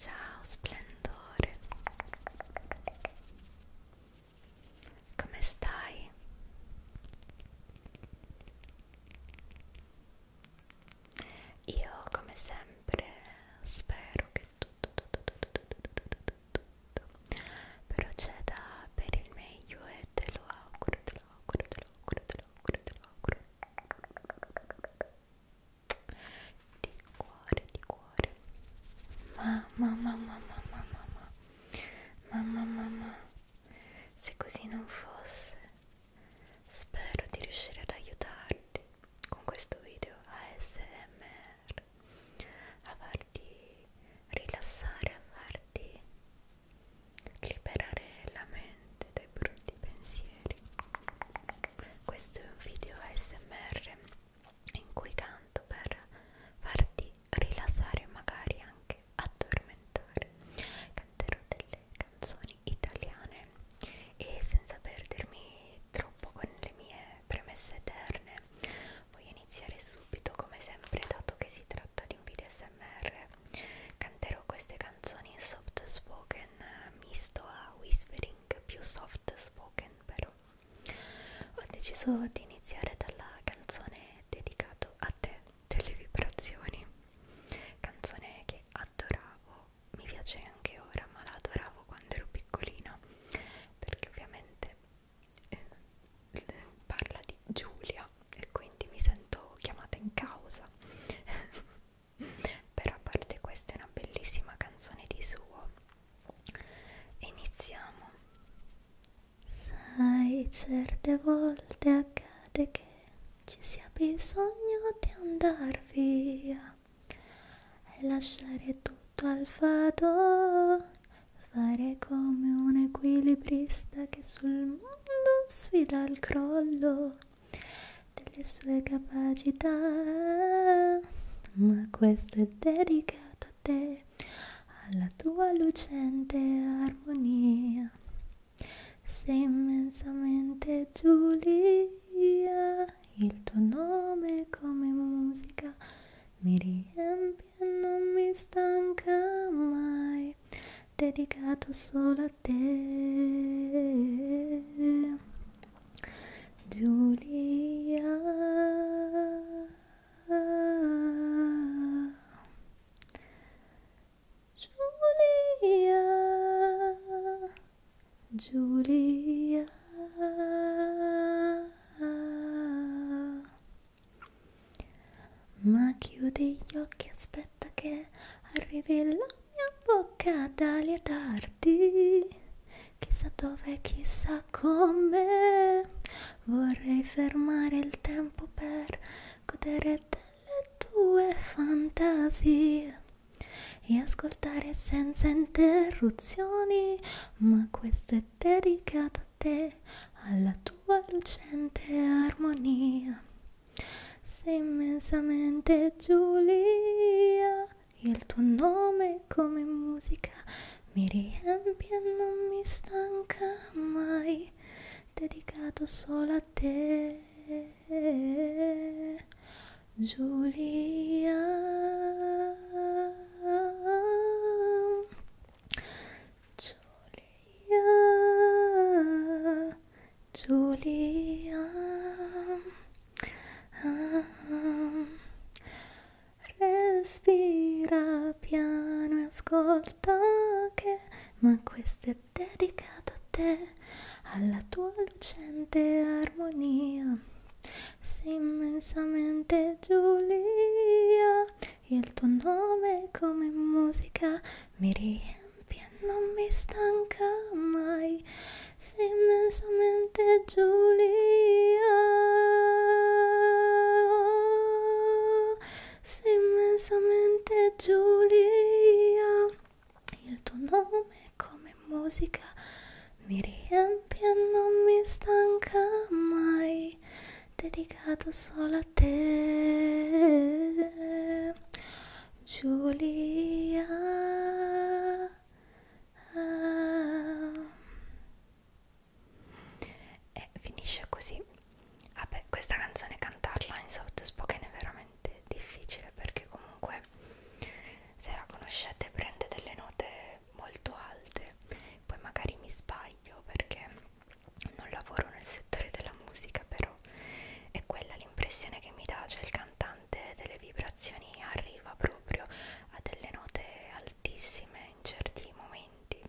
Ciao splendore, come stai? Io come sempre spero che tutto, tutto, tutto, tutto, tutto. però c'è da per il meglio e te lo auguro, te lo auguro, te lo auguro, te lo auguro, te lo auguro di cuore, di cuore mamma, mamma, mamma, mamma mamma, mamma se così non fosse spero di riuscire ad aiutarti con questo video ASMR a farti rilassare, a farti liberare la mente dai brutti pensieri. Questo è un video ASMR in cui canto per farti rilassare, magari anche addormentare. Canterò delle canzoni italiane e senza perdermi troppo con le mie premesse eterne voglio iniziare subito come sempre dato che si tratta di un video smr canterò queste canzoni in soft spoken misto a whispering più soft spoken però ho deciso di iniziare dalla canzone dedicato a te delle vibrazioni canzone che adoravo mi piace anche ora ma la adoravo quando ero piccolina perché ovviamente eh, parla di Giulia e quindi mi sento chiamata in causa però a parte questa è una bellissima canzone di suo iniziamo sai certe volte accade che ci sia bisogno di andar via è lasciare tutto al fado, fare come un equilibrista che sul mondo sfida il crollo delle sue capacità, ma questo è dedicato a te, alla tua lucente armonia. Sei immensamente Giulia il tuo nome come musica mi riempie e non mi stanca mai, dedicato solo a te. Giulia, Giulia, Giulia ma chiude gli occhi aspetta che arrivi la mia bocca dalia tardi chissà dove chissà come vorrei fermare il tempo per godere delle tue fantasie e ascoltare senza interruzioni, ma questo è dedicato a te, alla tua lucente armonia. Sei immensamente Giulia, il tuo nome come musica mi riempie e non mi stanca mai, dedicato solo a te. Giulia Giulia Giulia ah, ah. Respira piano e ascolta che ma questo è dedicato a te alla tua lucente armonia sei immensamente Giulia, il tuo nome come musica mi riempie e non mi stanca mai. Sei immensamente Giulia, sei immensamente Giulia, il tuo nome come come musica mi riempie e non mi stanca mai dedicato solo a te Giulia e finisce così vabbè questa canzone cantarla in soft spoken è veramente difficile perché comunque comunque se la conoscete prende delle note molto alte poi magari mi sbaglio perché non lavoro nel settore della musica però è quella l'impressione che mi dà cioè il cantante delle vibrazioni arriva proprio a delle note altissime in certi momenti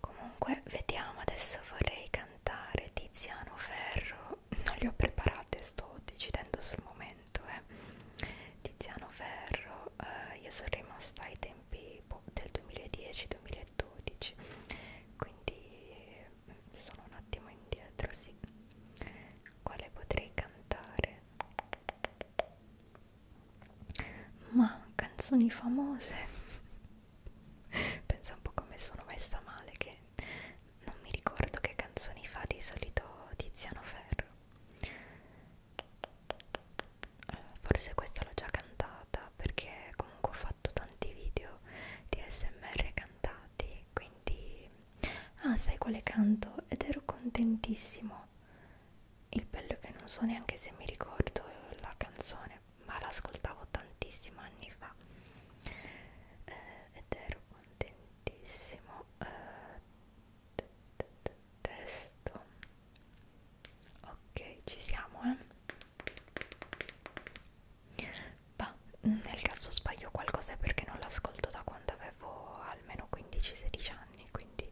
comunque vediamo adesso vorrei cantare Tiziano Ferro non le ho preparate, sto decidendo sul momento. Eh. Tiziano Ferro, eh, io sono rimasta ai tempi boh, del 2010-2012, quindi mm, sono un attimo indietro, sì. Quale potrei cantare? Ma canzoni famose. Pensa un po' come sono messa male che non mi ricordo che canzoni fa di solito Tiziano Ferro eh, forse questa l'ho già cantata perché comunque ho fatto tanti video di smr cantati quindi ah sai quale canto ed ero contentissimo il bello è che non so neanche se mi ricordo la canzone ma l'ascoltavo tantissimo anni fa eh, ed ero contentissimo tantissimo eh, testo ok ci siamo eh bah, nel caso sbaglio qualcosa è perché non l'ascolto da quando avevo almeno 15-16 anni quindi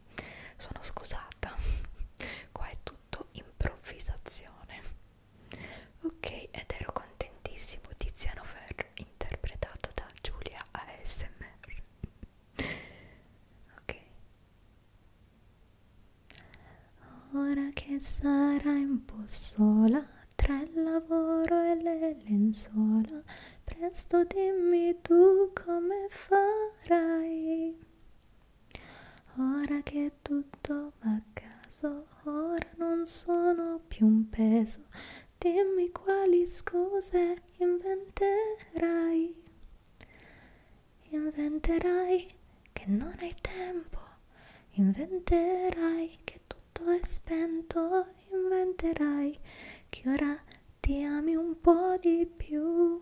sono scusata qua è tutto improvvisazione ok ed ero contentissimo Tiziano Ferro interpretato da Giulia ASMR ok ora che sarai un po' sola tra il lavoro e le lenzuola presto dimmi tu come farai ora che tutto va a caso ora non sono più un peso Dimmi quali scuse inventerai. Inventerai che non hai tempo, inventerai che tutto è spento, inventerai che ora ti ami un po' di più.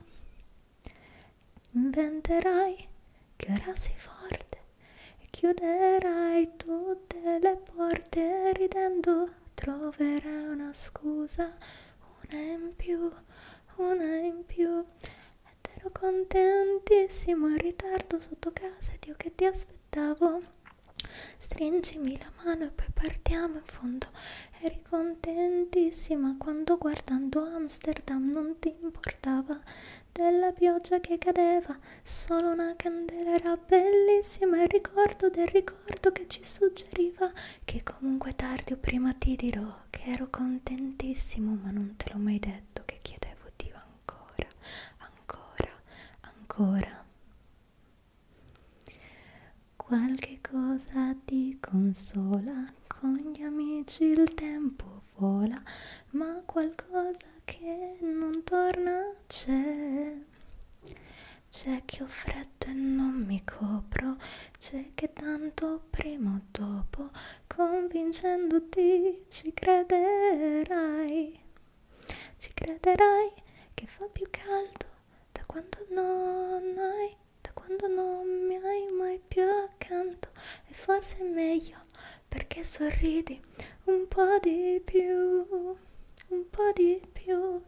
Inventerai che ora sei forte, Chiuderai tutte le porte ridendo, troverai una scusa, una in più, una in più. Ed ero contentissimo in ritardo sotto casa, ed io che ti aspettavo. Stringimi la mano e poi partiamo in fondo. Eri contentissima quando guardando Amsterdam non ti importava della pioggia che cadeva Solo una candela era bellissima, il ricordo del ricordo che ci suggeriva che comunque tardi o prima ti dirò che ero contentissimo, ma non te l'ho mai detto che chiedevo Dio ancora, ancora, ancora. Qualche cosa ti consola, con gli amici il tempo vola, ma qualcosa che non torna c'è, c'è che ho freddo e non mi copro, c'è che tanto prima o dopo, convincendoti ci crederai, ci crederai che fa più caldo da quando non hai, da quando non mi hai mai più accanto e forse è meglio perché sorridi un po' di più, un po' di più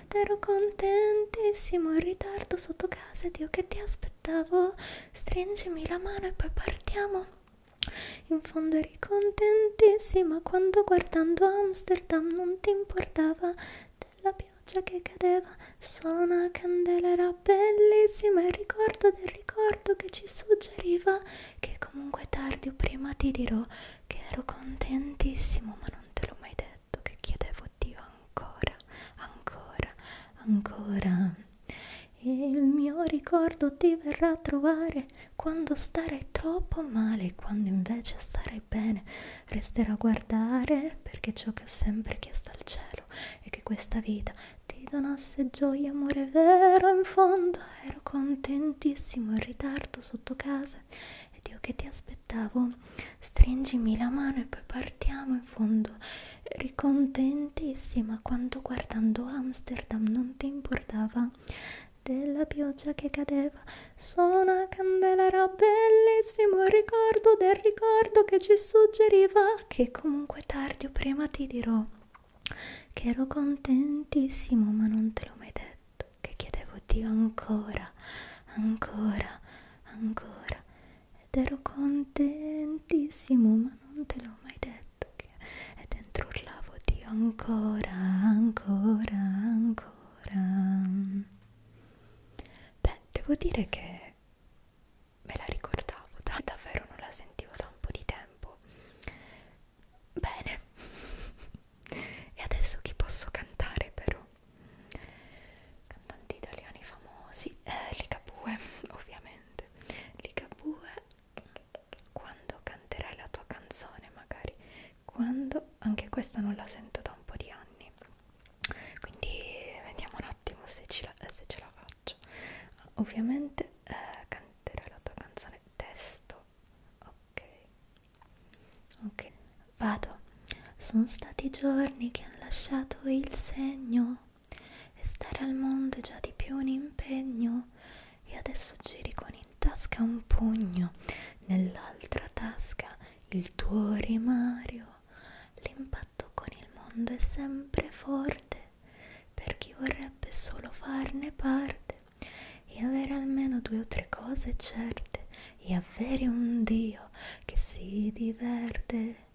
ed ero contentissimo in ritardo sotto casa ed io che ti aspettavo stringimi la mano e poi partiamo in fondo eri contentissima quando guardando Amsterdam non ti importava della pioggia che cadeva solo una candela era bellissima il ricordo del ricordo che ci suggeriva che comunque tardi o prima ti dirò che ero contentissimo ma non te l'ho mai detto che chiedevo Dio ancora, ancora, ancora e il mio ricordo ti verrà a trovare quando starai troppo male quando invece starai bene resterò a guardare perché ciò che ho sempre chiesto al cielo è che questa vita ti donasse gioia amore vero in fondo ero contentissimo in ritardo sotto casa ed io che ti aspettavo stringimi la mano e poi partiamo in fondo eri contentissima quando guardando Amsterdam non ti importava della pioggia che cadeva sono una candela era bellissimo il ricordo del ricordo che ci suggeriva che comunque tardi o prima ti dirò che ero contentissimo ma non te l'ho mai detto, che chiedevo Dio ancora, ancora, ancora ed ero contentissimo ma non te l'ho mai detto che... e dentro urlavo Dio ancora, ancora, ancora. Beh, devo dire che me la ricordavo, davvero non la sentivo da un po' di tempo Bene. e adesso chi posso cantare però? Cantanti italiani famosi, eh, Ligabue, ovviamente. Ligabue, quando canterai la tua canzone magari? Quando? Anche questa non la sento da un po' di anni. Quindi vediamo un attimo se, la, se ce la faccio. Ovviamente eh, canterai la tua canzone testo ok ok vado sono stati giorni che hanno lasciato il segno e stare al mondo è già di più un impegno e adesso giri con in tasca un pugno nell'altra tasca il tuo rimario l'impatto con il mondo è sempre forte per chi vorrebbe solo farne parte e avere almeno due o tre cose certe e avere un Dio che si diverte.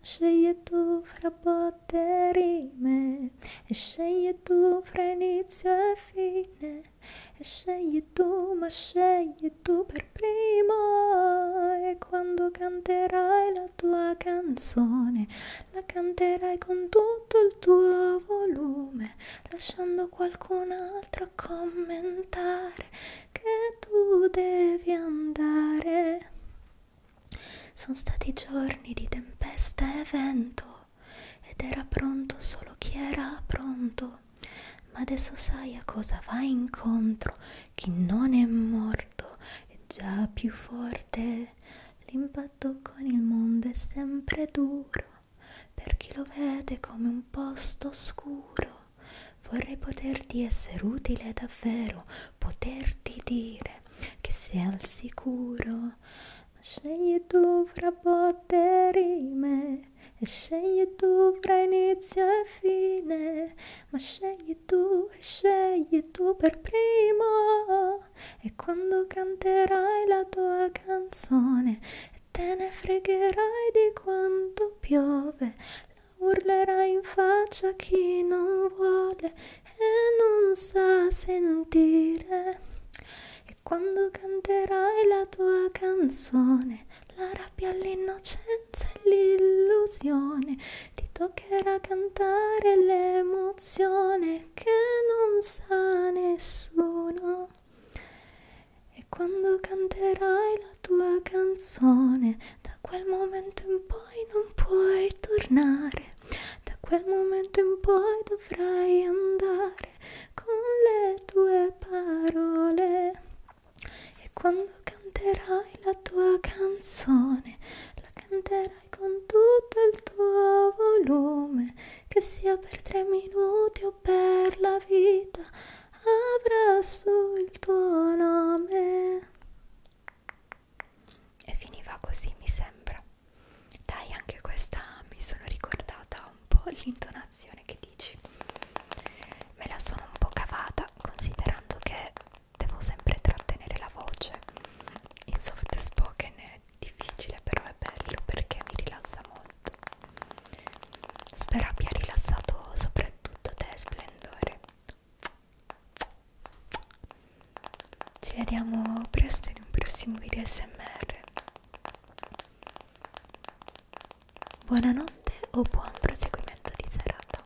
Scegli tu fra botte e rime, e scegli tu fra inizio e fine, e scegli tu, ma scegli tu per primo. E quando canterai la tua canzone, la canterai con tuo tutto il tuo volume lasciando qualcun altro commentare che tu devi andare sono stati giorni di tempesta e vento ed era pronto solo chi era pronto ma adesso sai a cosa vai incontro chi non è morto è già più forte parte. L'impatto con il mondo è sempre duro, per chi lo vede come un posto oscuro. Vorrei poterti essere utile davvero, poterti dire che sei al sicuro. Scegli tu fra botte e rime, e scegli tu fra inizio e fine, ma scegli tu e scegli tu per primo e quando canterai la tua canzone e te ne fregherai di quanto piove, la urlerai in faccia a chi non vuole e non sa sentire. E quando canterai la tua canzone, la rabbia, l'innocenza e l'illusione ti tocca mancherà cantare l'emozione che non sa nessuno. E quando canterai la tua canzone, da quel momento in poi non puoi tornare. Da quel momento in poi dovrai andare con le tue parole. E quando canterai la tua canzone, la canterai con tutto il tuo volume, che sia per tre minuti o per la vita, avrà su il tuo nome. E finiva così, mi sembra. Dai, anche questa mi sono ricordata un po' l'intonazione che dici. Me la sono un po' cavata, considerando che devo sempre trattenere la voce in soft spoken è difficile però è bello perché mi rilassa molto spero abbia rilassato soprattutto te splendore ci vediamo presto in un prossimo video smr buonanotte o buon proseguimento di serata